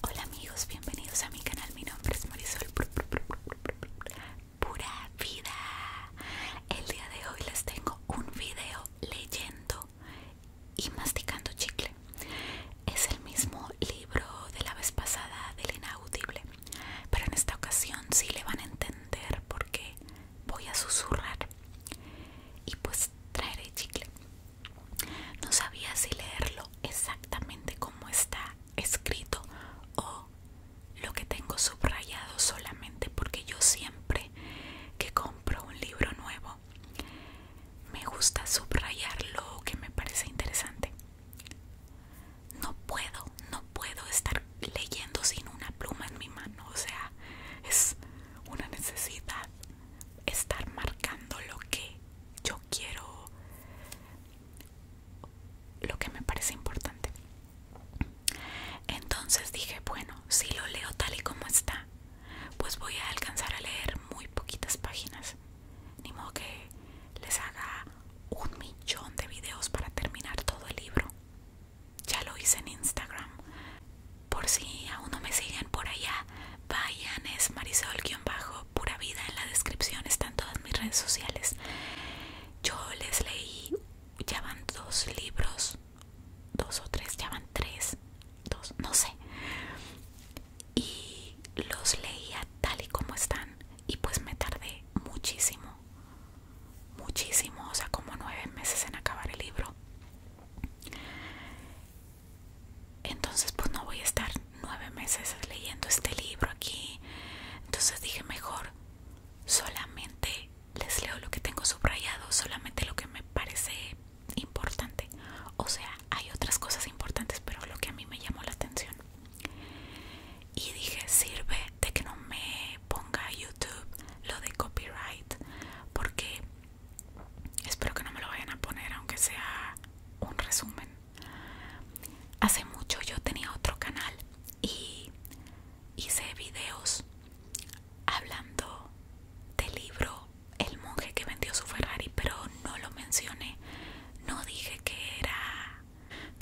Hola amigos, bienvenidos a mi canal. Mi nombre es Marisol Pura Vida. El día de hoy les tengo un video leyendo y masticando chicle. Es el mismo libro de la vez pasada del inaudible, pero en esta ocasión sí le van a entender porque voy a susurrar y pues traeré chicle. No sabía si leerlo exactamente como está escrito o lo que tengo subrayado solamente porque yo siempre que compro un libro nuevo me gusta subrayar lo que me parece interesante. No puedo, no puedo estar leyendo sin una pluma en mi mano, o sea, es una necesidad estar marcando lo que yo quiero, lo que me parece importante. Entonces dije, bueno, si lo leo tal y como está, pues voy a alcanzar a leer muy poquitas páginas. Ni modo que les haga un millón de videos para terminar todo el libro. Ya lo hice en Instagram. Por si aún no me siguen por allá, vayan, es Marisol-bajo, pura vida, en la descripción están todas mis redes sociales. Yo les leí, ya van dos libros, dos o tres, ya van tres, dos, no sé. Y los leía tal y como están y pues me tardé muchísimo, muchísimo, o sea, como nueve meses en acabar el libro entonces pues no voy a estar nueve meses leyendo este libro aquí entonces dije mejor solamente les leo lo que tengo subrayado solamente lo que me parece importante o sea hay otras cosas importantes pero lo que a mí me llamó la atención y dije sirve de que no me ponga YouTube lo de copyright porque Espero que no me lo vayan a poner, aunque sea un resumen. Hace mucho yo tenía otro canal y hice videos hablando del libro El monje que vendió su Ferrari, pero no lo mencioné. No dije que era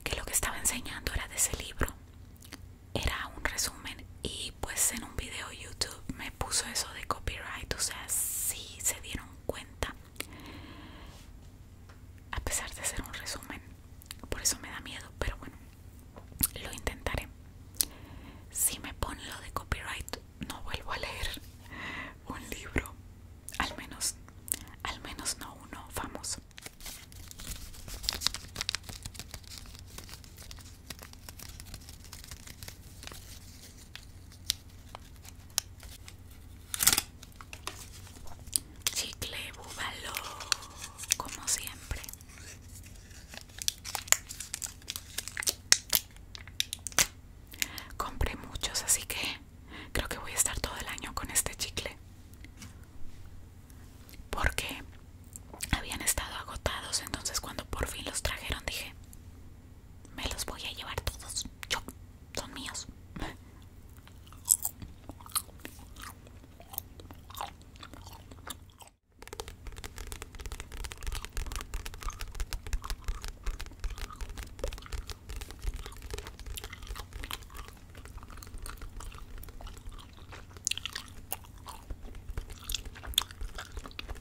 que lo que estaba enseñando era de ese libro. Era un resumen y pues en un video YouTube me puso eso de copyright, o sea, sí se dieron cuenta. A pesar de ser un resumen, por eso me da miedo, pero bueno, lo intentaré. Si me ponen lo de copyright, no vuelvo a leer un libro, al menos, al menos no uno famoso. Chicle búvalo como siempre. Compré muchos, así que creo que voy a estar todo el año con este chicle. Porque habían estado agotados, entonces cuando por fin los trajeron dije, me los voy a llevar todos, yo, son míos.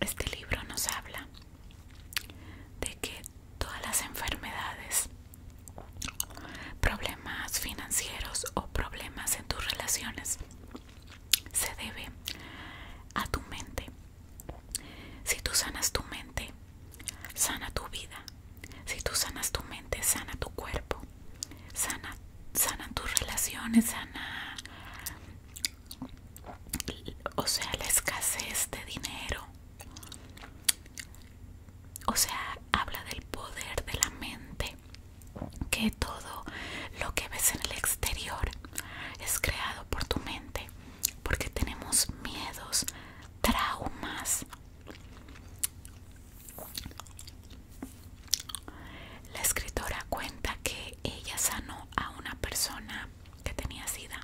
Este libro nos habla de que todas las enfermedades, problemas financieros o problemas en tus relaciones se debe a tu mente. Si tú sanas tu mente, sana tu vida. Si tú sanas tu mente, sana tu cuerpo, sana, sana tus relaciones, sana, o sea, la escasez de dinero. O sea, habla del poder de la mente, que todo lo que ves en el exterior es creado por tu mente, porque tenemos miedos, traumas, la escritora cuenta que ella sanó a una persona que tenía sida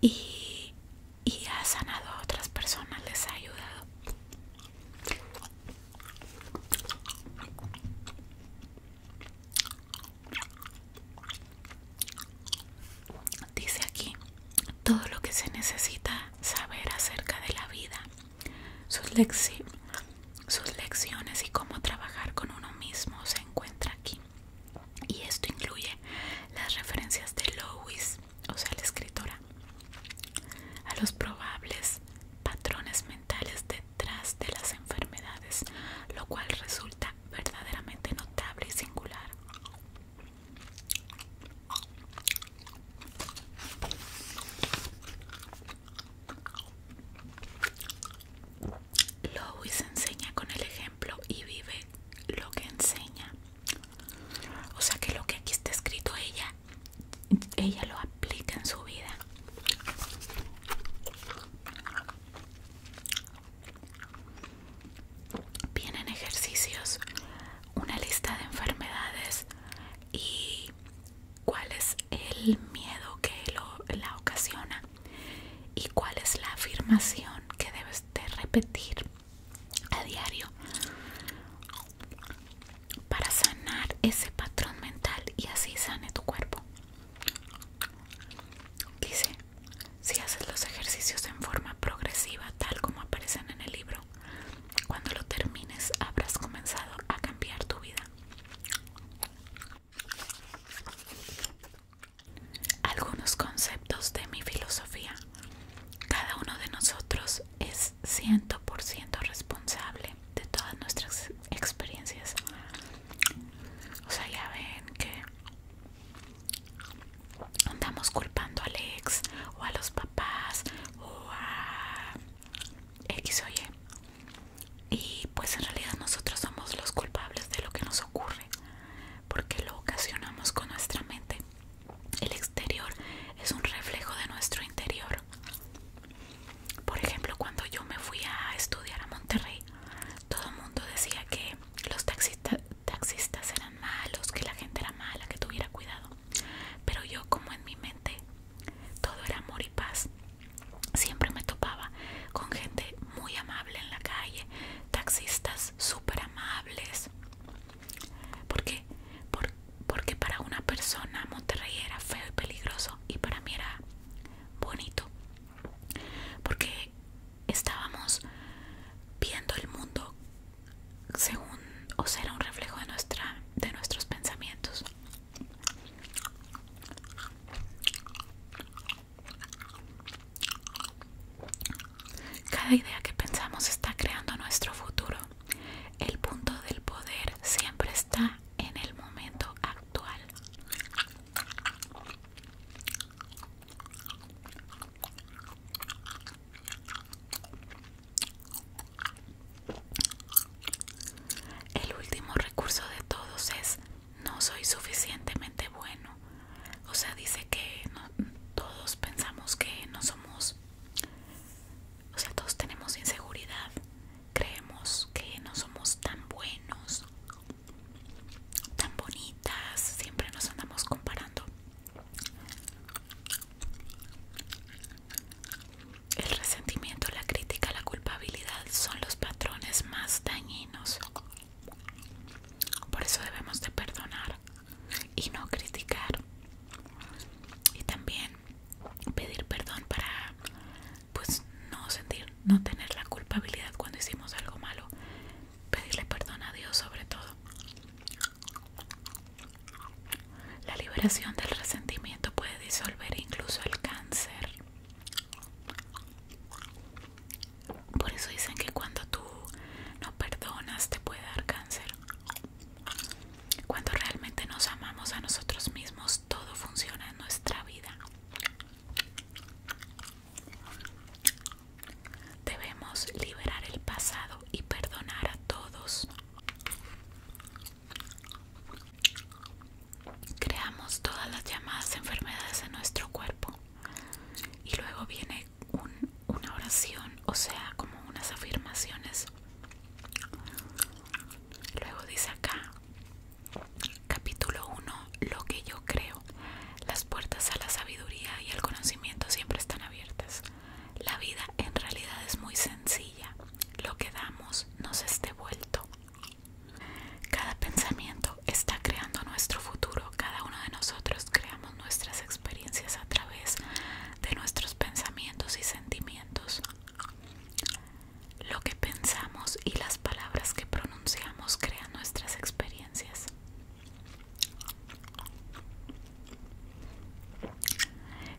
y, ha sanado a otras personas, les ha ayudado. Dice aquí todo lo que se necesita saber acerca de la vida, sus, lecciones y cómo trabajar con uno mismo se encuentra aquí. Y esto incluye las referencias de Lois, o sea, la escritora, a los probables patrones mentales detrás de las enfermedades, lo cual resulta verdaderamente notable y singular. Lois enseña con el ejemplo y vive lo que enseña. O sea que lo que aquí está escrito ella, ella lo aplica en su vida vienen ejercicios, una lista de enfermedades y cuál es el miedo que la ocasiona y cuál es la afirmación que debes de repetir a diario para sanar ese patrón mental y así sane tu cuerpo. Dice, si haces los ejercicios en forma progresiva, tal como aparecen en el libro, cuando lo termines habrás comenzado a cambiar tu vida. Algunos conceptos de mi filosofía. Cada uno de nosotros es 100% responsable de todas nuestras experiencias. O sea, ya ven que andamos culpando al ex o a los papás o a X o Y. Y pues en realidad nosotros somos los culpables de lo que nos ocurre porque lo ocasionamos con nuestra mente. El exterior es un reflejo de nuestro interior. Por ejemplo, cuando yo me fui a estudiar a Monterrey, todo el mundo decía que los taxistas taxistas eran malos, que la gente era mala, que tuviera cuidado. Pero yo como en mi mente todo era amor y paz, siempre me topaba con gente muy amable en la calle, taxistas súper amables. ¿Por qué? porque para una persona Monterrey era feo y peligroso y para mí era bonito. Porque estábamos viendo el mundo según o será un reflejo de nuestra de nuestros pensamientos cada idea que pensamos está creando nuestro futuro el punto del poder siempre está en el momento actual el último recurso de todos es no soy suficientemente bueno. O sea, dice que todos pensamos que no somos, o sea, todos tenemos inseguridad. Creemos que no somos tan buenos, tan bonitas. Siempre nos andamos comparando. El resentimiento, la crítica, la culpabilidad son los patrones más dañinos. Por eso debemos de perdonar y no criticar. Y también pedir perdón para pues no sentir, no tener la culpabilidad cuando hicimos algo malo, pedirle perdón a Dios sobre todo. La liberación del resentimiento puede disolver incluso el cáncer. Por eso dicen que cuando tú no perdonas te puede dar cáncer. Cuando realmente nos amamos a nosotros mismos, todo funciona en nuestra vida. Debemos liberar el pasado y perdonar a todos. Creamos todas las llamadas enfermedades en nuestro cuerpo. Y luego viene una oración, o sea, como unas afirmaciones. Luego dice acá, capítulo 1, lo que yo creo. Las puertas a la sabiduría y al conocimiento siempre están abiertas. La vida en realidad es muy sencilla. Lo que damos nos esté vuelto. Cada pensamiento está creando nuestro futuro. Cada uno de nosotros creamos nuestras experiencias a través de nuestros pensamientos y sentimientos. Lo que pensamos y las palabras que pronunciamos crean nuestras experiencias.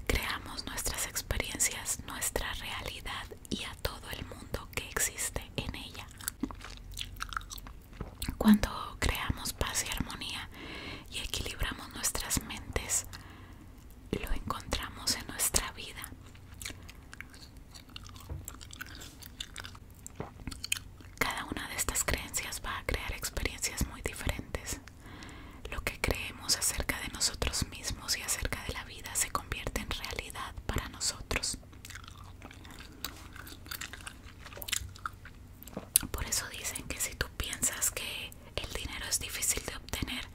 Creamos nuestras experiencias, nuestra realidad y a todo el mundo que existe en ella. Cuando creamos paz y armonía y equilibramos nuestras mentes, lo encontramos en nuestra vida. Cada una de estas creencias va a crear experiencias muy diferentes. Lo que creemos acerca de nosotros mismos y acerca de la vida se convierte en realidad para nosotros. Por eso dicen que si tú piensas que el dinero es difícil de obtener,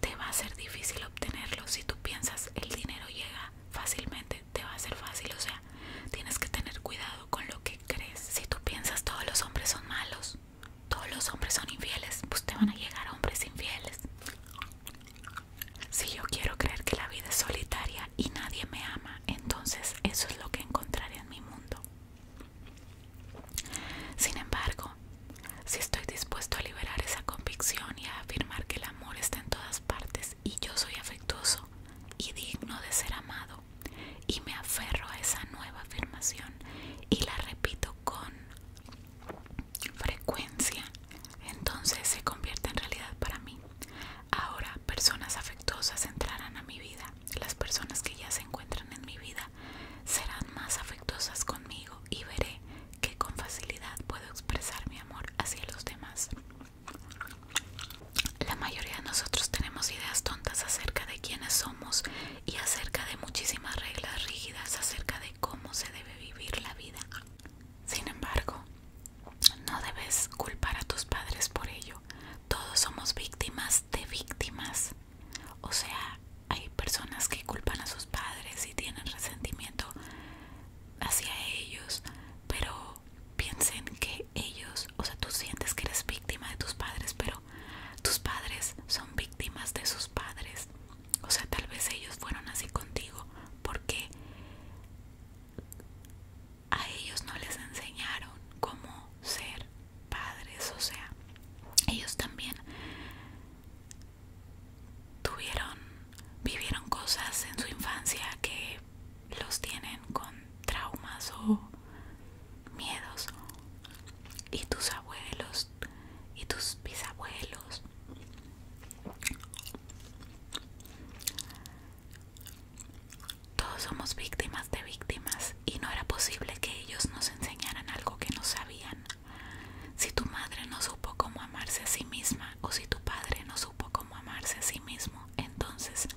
te va a ser difícil obtenerlo. Si tú piensas el dinero llega fácilmente, te, va a ser fácil, o sea, tienes que tener cuidado con lo que crees. Si tú piensas todos los hombres son malos, todos los hombres son infieles, pues te van a llegar hombres infieles. Si yo quiero creer que la vida es solitaria y nadie me ama, entonces eso es lo que encontraré en mi mundo. Sin embargo, si estoy dispuesto a liberar esa convicción y a afirmar que el amor está en todas partes y yo soy afectuoso, y digno de ser amado y me aferro a esa nueva afirmación y la repito con frecuencia, entonces se convierte en realidad para mí. Ahora personas afectuosas entrarán a mi vida, las personas que ya se encuentran en mi vida serán más afectuosas conmigo y veré que con facilidad puedo expresar mi amor hacia los demás. La mayoría de nosotros tenemos ideas tontas acerca de quiénes somos y acerca de muchísimas reglas rígidas acerca de cómo se debe vivir la vida. Sin embargo, no debes culpar a tus padres por ello. Todos somos víctimas de víctimas. O sea, hay personas que culpan a sus padres y tienen resentimiento hacia ellos, pero piensen que ellos, o sea, tú sientes que eres víctima de tus padres, pero tus padres son víctimas de sus padres. O sea, tal vez ellos fueron así contigo porque a ellos no les enseñaron cómo ser padres. O sea, ellos también tuvieron, vivieron cosas en su infancia que los tienen con traumas o miedos y tus abuelos y tus bisabuelos todos somos víctimas de víctimas y no era posible que ellos nos enseñaran algo que no sabían si tu madre no supo cómo amarse a sí misma o si tu padre no supo cómo amarse a sí mismo entonces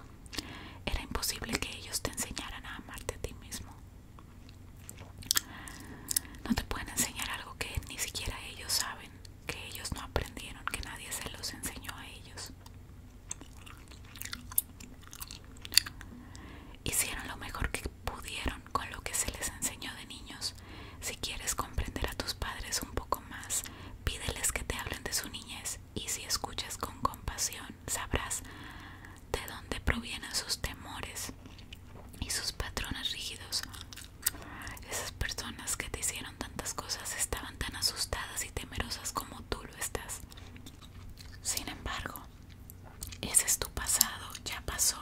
era imposible que ellos te enseñaran a amarte a ti mismo. No te pueden enseñar algo que ni siquiera ellos saben, que ellos no aprendieron, que nadie se los enseñó a ellos. Hicieron lo mejor que pudieron con lo que se les enseñó de niños. Si quieres comprender a tus padres un poco más, pídeles que te hablen de su niñez y si escuchas con compasión sabrás de dónde provienen sus temores y sus patrones rígidos. Esas personas que te hicieron tantas cosas estaban tan asustadas y temerosas como tú lo estás. Sin embargo, ese es tu pasado, ya pasó.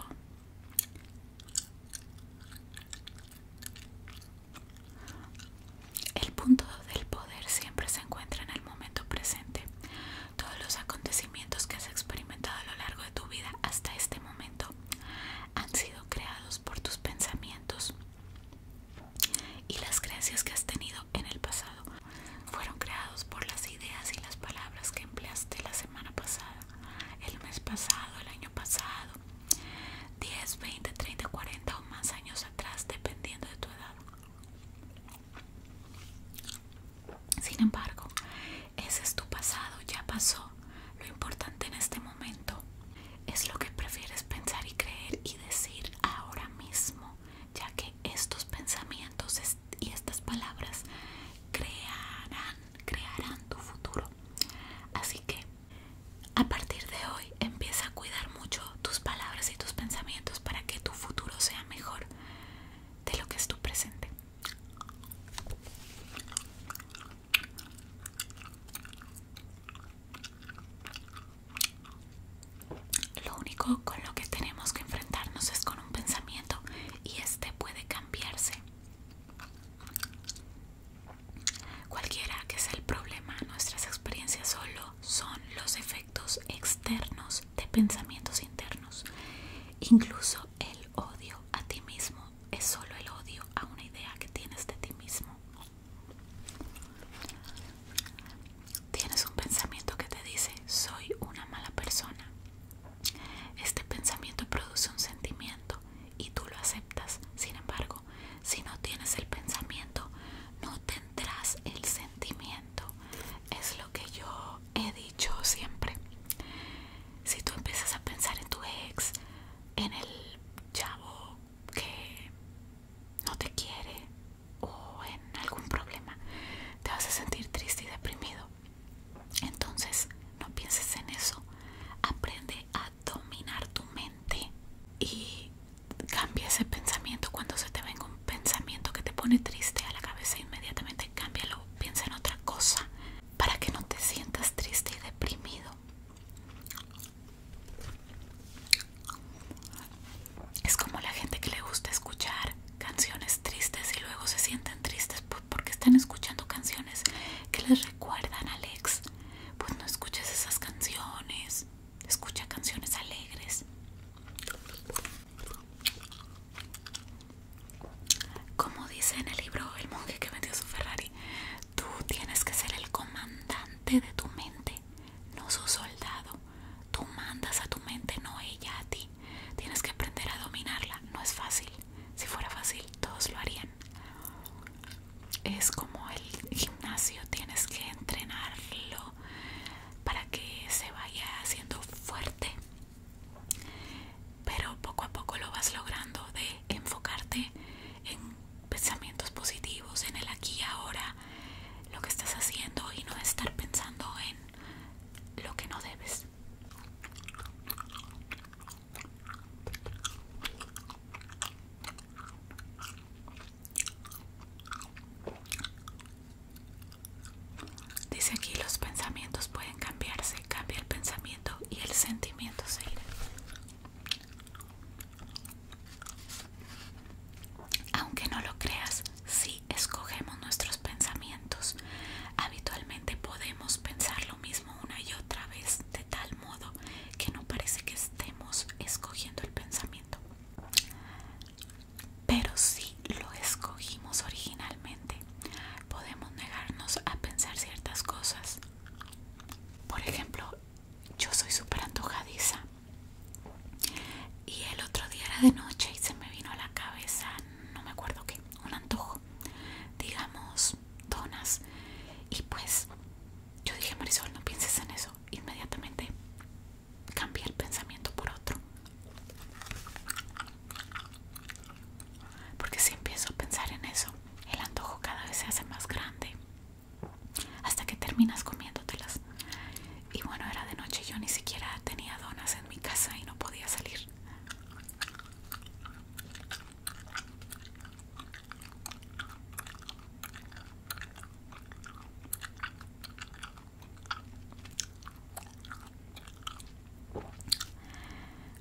El punto del poder siempre se encuentra en el momento presente. Todos los acontecimientos que has experimentado a lo largo de tu vida hasta este momento han sido creados por tus pensamientos y las creencias que has tenido en el pasado. Fueron creados por las ideas y las palabras que empleaste la semana pasada, el mes pasado, el año pasado. 10, 20, 30, 40 o más años atrás, dependiendo de tu edad. Sin embargo, ese es tu pasado, ya pasó. Lo importante en este momento es lo que prefieres pensar y creer y decir ahora mismo, ya que estos pensamientos y estas palabras crearán, crearán tu futuro. Así que a partir de hoy empieza a cuidar mucho tus palabras y tus pensamientos para que tu futuro sea mejor de lo que es tu presente. Lo único con lo que tenemos que enfrentarnos es con un pensamiento y este puede cambiarse. Cualquiera que sea el problema, nuestras experiencias solo son los efectos externos de pensamientos internos. Incluso el odio a ti mismo es solo el odio a una idea que tienes de ti mismo. Tienes un pensamiento que te dice soy una mala persona. Este pensamiento produce un sentimiento y tú lo aceptas. Sin embargo, si no tienes el pensamiento, no tendrás el sentimiento. Es lo que yo he dicho siempre. Si tú empiezas a pensar en tu ex, en el chavo que no te quiere o en algún problema, te vas a sentir triste y deprimido. Entonces, no pienses en eso. Aprende a dominar tu mente y cambia ese pensamiento cuando se te venga un pensamiento que te pone triste a la cabeza inmediatamente cámbialo piensa en otra cosa para que no te sientas triste y deprimido es como la gente que le gusta escuchar canciones tristes y luego se sienten tristes porque están escuchando canciones que les recuerdan al ex pues no escuches esas canciones. Escucha canciones alegres. Como dice en el libro El monje que vendió su Ferrari, tú tienes que ser el comandante de tu mente, no su soldado. Tú mandas a tu mente, no ella a ti. Tienes que aprender a dominarla, no es fácil. Si fuera fácil, todos lo harían. Es como el gimnasio, tienes que entrenarlo para que se vaya haciendo fuerte. Pero poco a poco lo vas logrando de enfocarte en pensamientos positivos, en el aquí y ahora, lo que estás haciendo y no estar pensando en lo que no debes. Dice aquí los pensamientos pueden cambiarse, cambia el pensamiento y el sentimiento se irá. Aunque no lo creas, Si escogemos nuestros pensamientos. Habitualmente podemos pensar lo mismo una y otra vez de tal modo que no parece que estemos escogiendo el pensamiento. Pero si lo escogimos originalmente, podemos negarnos a pensar ciertas cosas. Por ejemplo, yo soy súper antojadiza. Y el otro día era de noche y se me vino a la cabeza, no me acuerdo qué, un antojo. Digamos, donas y pues yo dije Marisol no pienses en eso inmediatamente cambié el pensamiento por otro porque si empiezo a pensar en eso el antojo cada vez se hace más grande hasta que terminas comiéndotelas y bueno era de noche yo ni siquiera tenía donas en mi casa y no podía salir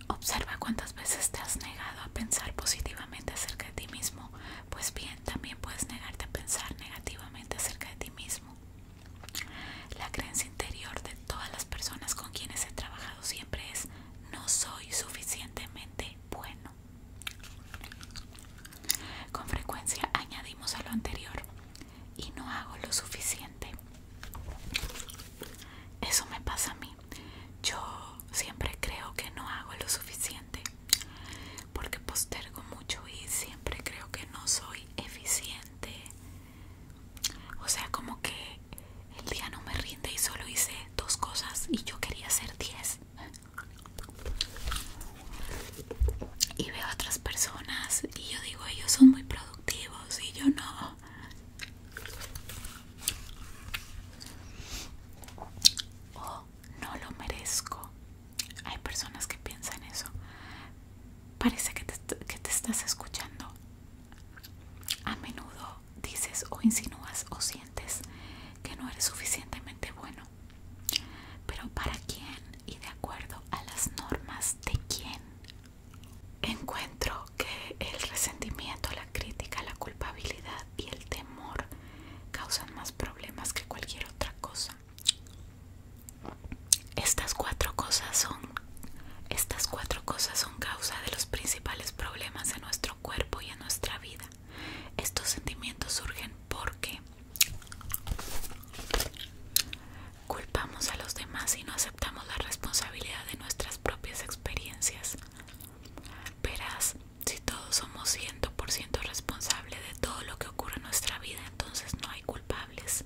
Observa cuántas veces te has negado a pensar positivamente acerca de ti mismo. Pues bien, también puedes negarte a pensar negativamente acerca de ti mismo. La creencia interior de todas las personas con quienes he trabajado siempre es no soy suficientemente bueno. Con frecuencia añadimos a lo anterior y no hago lo suficiente. Eso me pasa a mí. Yo siempre creo que no hago lo suficiente porque postergo mucho y siempre creo que no soy eficiente. O sea, como que el día no me rinde y solo hice dos cosas y yo quería hacer diez. Y veo a otras personas y yo digo, ellos son muy productivos y yo no. O no lo merezco. Hay personas que piensan eso. Parece que te, que te estás escuchando a menudo dices o insinúas o sientes que no eres suficientemente bueno. Pero para quién y de acuerdo a las normas de quién. Encuentro que el resentimiento, la crítica, la culpabilidad y el temor causan más problemas que cualquier otra cosa. Estas cuatro cosas son estas cuatro cosas son causa de los principios problemas en nuestro cuerpo y en nuestra vida. Estos sentimientos surgen porque culpamos a los demás y no aceptamos la responsabilidad de nuestras propias experiencias. Verás, si todos somos 100% responsables de todo lo que ocurre en nuestra vida, entonces no hay culpables.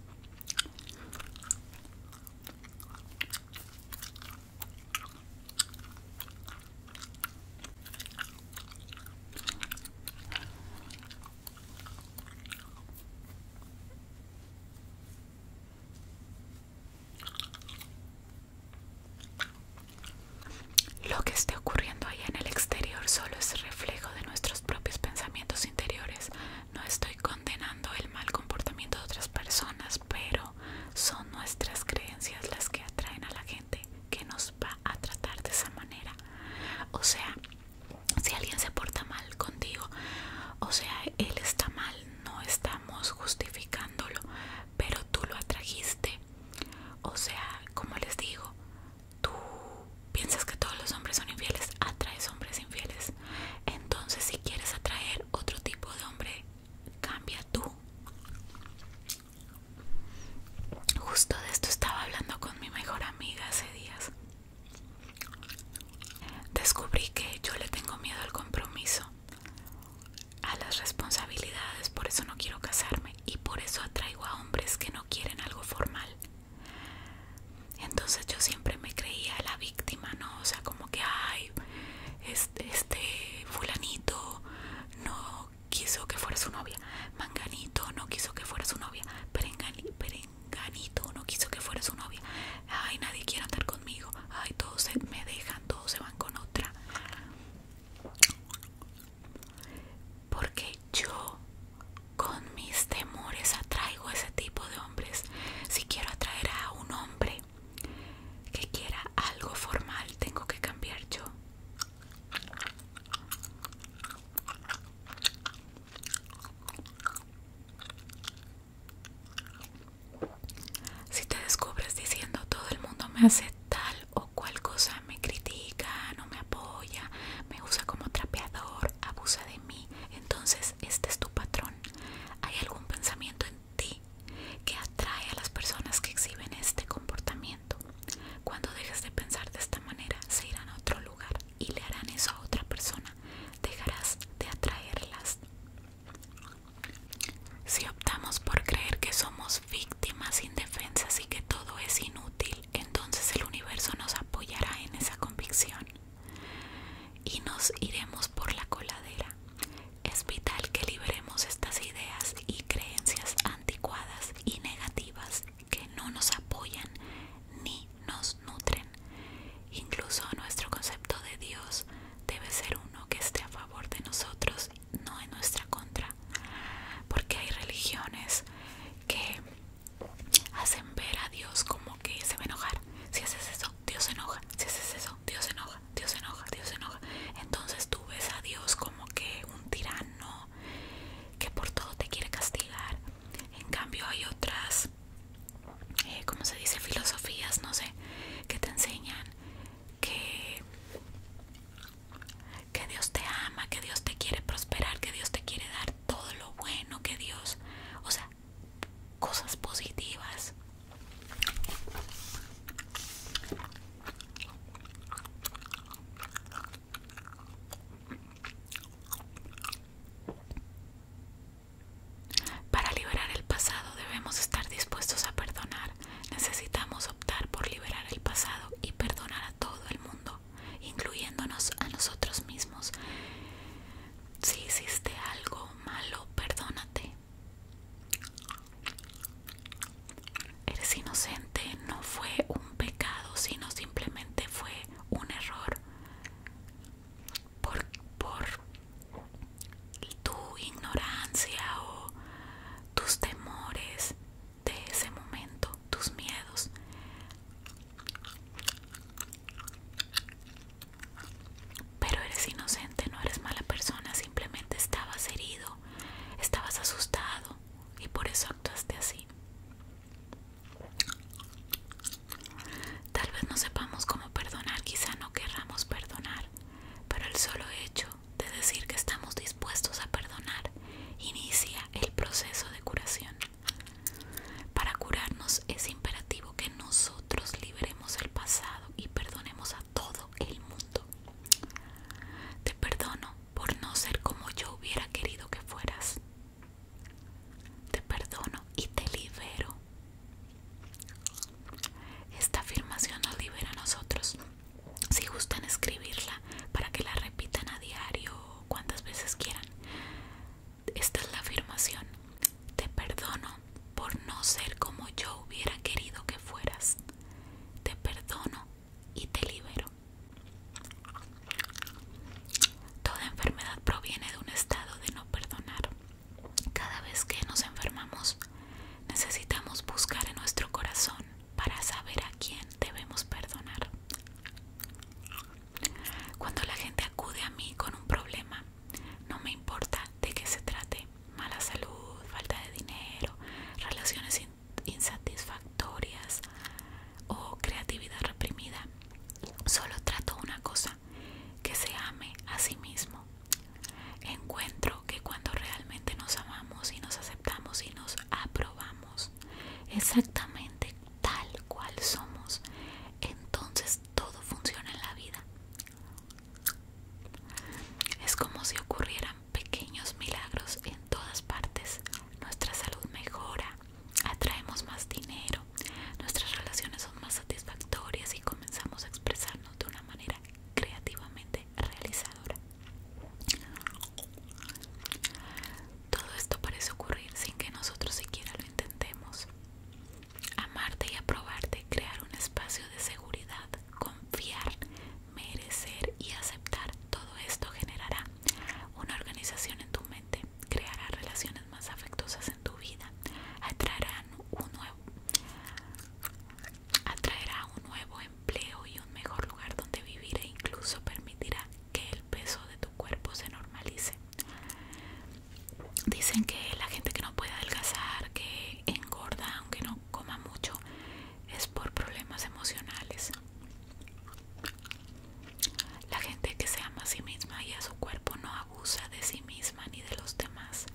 Lo que esté ocurriendo ahí en el exterior solo es reflejo de nuestros propios pensamientos interiores. No estoy condenando el mal comportamiento de otras personas, pero son nuestras creencias las que atraen a la gente que nos va a tratar de esa manera. O sea, si alguien se porta mal contigo, o sea, él está mal, no estamos justificándolo, pero tú lo atrajiste. O sea, como les digo, tú piensas que todos los hombres son infieles, atraes hombres infieles. Entonces, si quieres atraer otro tipo de hombre Cambia tú. Justo de esto estaba hablando con mi mejor amiga hace días. Descubrí que yo le tengo miedo al compromiso, a las responsabilidades, por eso no quiero casarme y por eso atraigo a hombres que no quieren algo formal. Entonces yo siempre me creía la víctima, ¿no? O sea, como que, ay, este, este fulanito no quiso que fuera su novia, manganito no quiso que fuera su novia, perenganito no quiso que fuera su novia, ay nadie quiere andar conmigo, ay todos me dejan, todos se van con otra. Porque yo con mis temores atraigo a ese tipo de hombres. Si quiero atraer a un hombre que quiera algo formal tengo que cambiar yo si te descubres diciendo todo el mundo me hace tal o cual cosa, me critica, no me apoya, me usa como trapeador, abusa de mí, entonces este es tu patrón. ¿Hay algún pensamiento en ti que atrae a las personas que exhiben este comportamiento. Cuando dejes de pensar de esta manera, se irán a otro lugar y le harán eso a otra persona. Dejarás de atraerlas. Si optamos por creer que somos víctimas indefensas y que todo es inútil, entonces el universo nos apoyará en esa convicción y nos iremos por la coladera. Es vital que liberemos estas ideas y creencias anticuadas y negativas que no nos apoyan ni nos nutren. Incluso nuestro concepto de Dios debe ser uno que esté a favor de nosotros, no en nuestra contra. Porque hay religiones que hacen ver a Dios como que se va a enojar si haces eso Dios se enoja, si es eso, Dios se enoja, Dios se enoja, Dios se enoja. Entonces tú ves a Dios como que un tirano que por todo te quiere castigar. En cambio hay otras, eh, se dice, filosofías, no sé, que te enseñan que, que Dios te ama, que Dios te quiere prosperar, que Dios te quiere dar todo lo bueno que Dios, o sea, cosas positivas. Para liberar el pasado debemos estar dispuestos a perdonar. Necesitamos optar por liberar el pasado y perdonar a todo el mundo, incluyéndonos a nosotros mismos. Si hiciste algo malo, perdónate. Eres inocente, no fue un pecado, sino simplemente fue un error. Por, por tu ignorancia o tus temores de ese momento, tus miedos. Pero eres inocente, no eres mala persona, simplemente estabas herido, estabas asustado y por eso actuaste así. Tal vez no sepamos cómo perdonar, quizá no querramos perdonar, pero el solo hecho de decir que estamos dispuestos a perdonar inicia el proceso de curación. Para curarnos es imperativo que nosotros liberemos el pasado y perdonemos a todo el mundo. Te perdono por no ser como yo hubiera querido que fueras. Te perdono y te libero. Esta afirmación nos libera a nosotros. Si gustan escribirla para que la repitan a diario o cuantas veces quieran, esta es la afirmación. Te perdono por no ser como yo hubiera querido que fueras. Te perdono y te libero. Toda enfermedad proviene de un estado de no perdonar. Cada vez que nos enfermamos, necesitamos buscar en nuestro corazón para saber a quién debemos perdonar. Cuando la gente acude a mí con un problema, no me importa de qué se trate, mala salud, falta de dinero, relaciones insatisfactorias o creatividad reprimida, solo trato una cosa, que se ame a sí mismo. Encuentro que cuando realmente nos amamos y nos aceptamos y nos aprobamos exactamente tal cual somos, entonces todo funciona en la vida. Es como si ocurrieran pequeños milagros en todas partes. Nuestra salud mejora, atraemos más dinero, nuestras relaciones son más satisfactorias y comenzamos a expresarnos de una manera creativamente realizadora. Todo esto parece ocurrir sin que nosotros siquiera lo intentemos amarte y aprobarte, crear un espacio de seguridad, confiar, merecer y aceptar. Todo esto generará una organización en tu mente, creará relaciones más afectuosas en tu vida, atraerá un nuevo empleo y un mejor lugar donde vivir e incluso permitirá que el peso de tu cuerpo se normalice. Dicen que la gente que no puede adelgazar, que engorda aunque no coma mucho, es por problemas emocionales. La gente que se ama a sí misma y a su cuerpo no abusa de sí misma ni de los demás.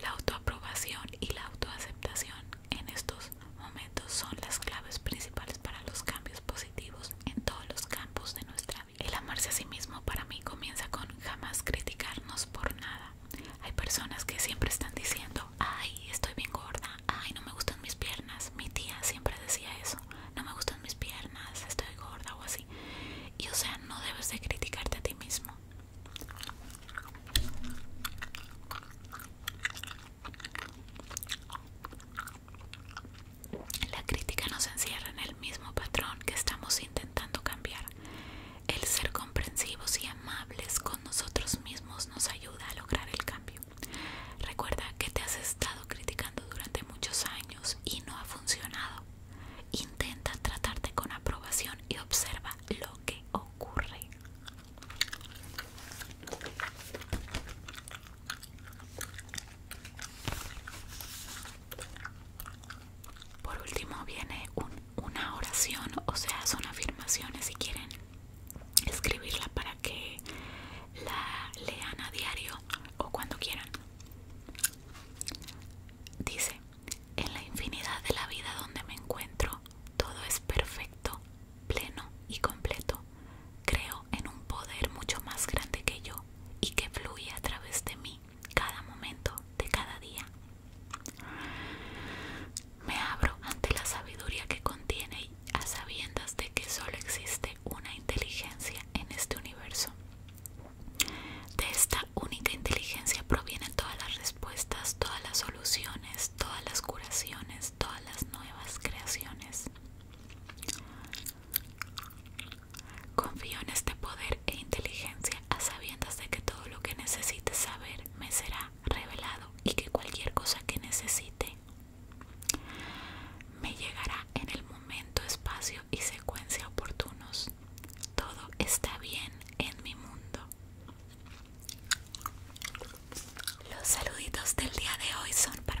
La autoaprobación y la autoaceptación en estos momentos son las claves principales para los cambios positivos en todos los campos de nuestra el amarse a sí mismo para mí comienza con jamás criticarnos por nada. Hay personas que siempre están diciendo, ay, estoy bien gorda, ay, no me gustan mis piernas. Mi tía siempre decía eso, no me gustan mis piernas, estoy gorda o así. Y o sea, no debes de criticarte a ti mismo. La crítica nos encierra en el mismo patrón que estamos intentando cambiar. El ser comprensivos y amables con nosotros mismos nos ayuda a lograr el cambio. Recuerda que te has estado criticando durante muchos años y no ha funcionado. Intenta tratarte con aprobación y observa lo que ocurre. Por último viene una oración, o sea, son afirmaciones si quieren escribirla para que la lean a diario o cuando quieran. Dice, en la infinidad de la vida donde me encuentro, todo es perfecto, pleno y completo. Creo en un poder mucho más grande que yo y que fluye a través de mí cada momento de cada día. Me abro ante la sabiduría que contiene a sabiendas de que solo existe una inteligencia en este universo. De esta única inteligencia provienen todas las respuestas, todas las soluciones, todas las curaciones, todas las nuevas creaciones. Confío en este poder e inteligencia a sabiendas de que todo lo que necesite saber me será revelado y que cualquier cosa que necesite me llegará en el momento, espacio y secuencia oportunos. Todo está bien en mi mundo. Los saluditos del día de hoy son para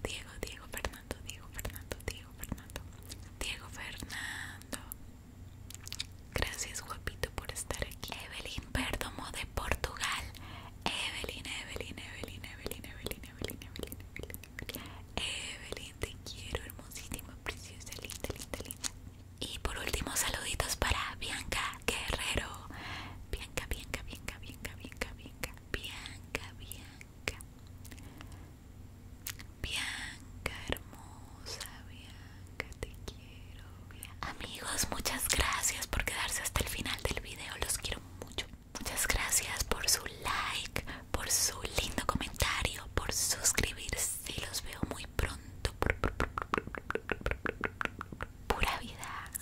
Diego, Diego, Fernando, Diego Fernando, Diego Fernando, Diego Fernando. Gracias guapito por estar aquí. Evelyn Perdomo de Portugal. Evelyn, Evelyn, Evelyn, Evelyn, Evelyn, Evelyn, Evelyn, Evelyn. Evelyn, te quiero, hermosísima, preciosa, linda, linda, linda. Y por último, saluditos para Bianca Guerrero. Bianca, Bianca, Bianca, Bianca, Bianca, Bianca. Bianca, Bianca, Bianca hermosa, Bianca, te quiero, Amigos, muchas gracias por quedarse hasta el final del video, los quiero mucho. Muchas gracias por su like, por su lindo comentario, por suscribirse. Los veo muy pronto. Pura vida.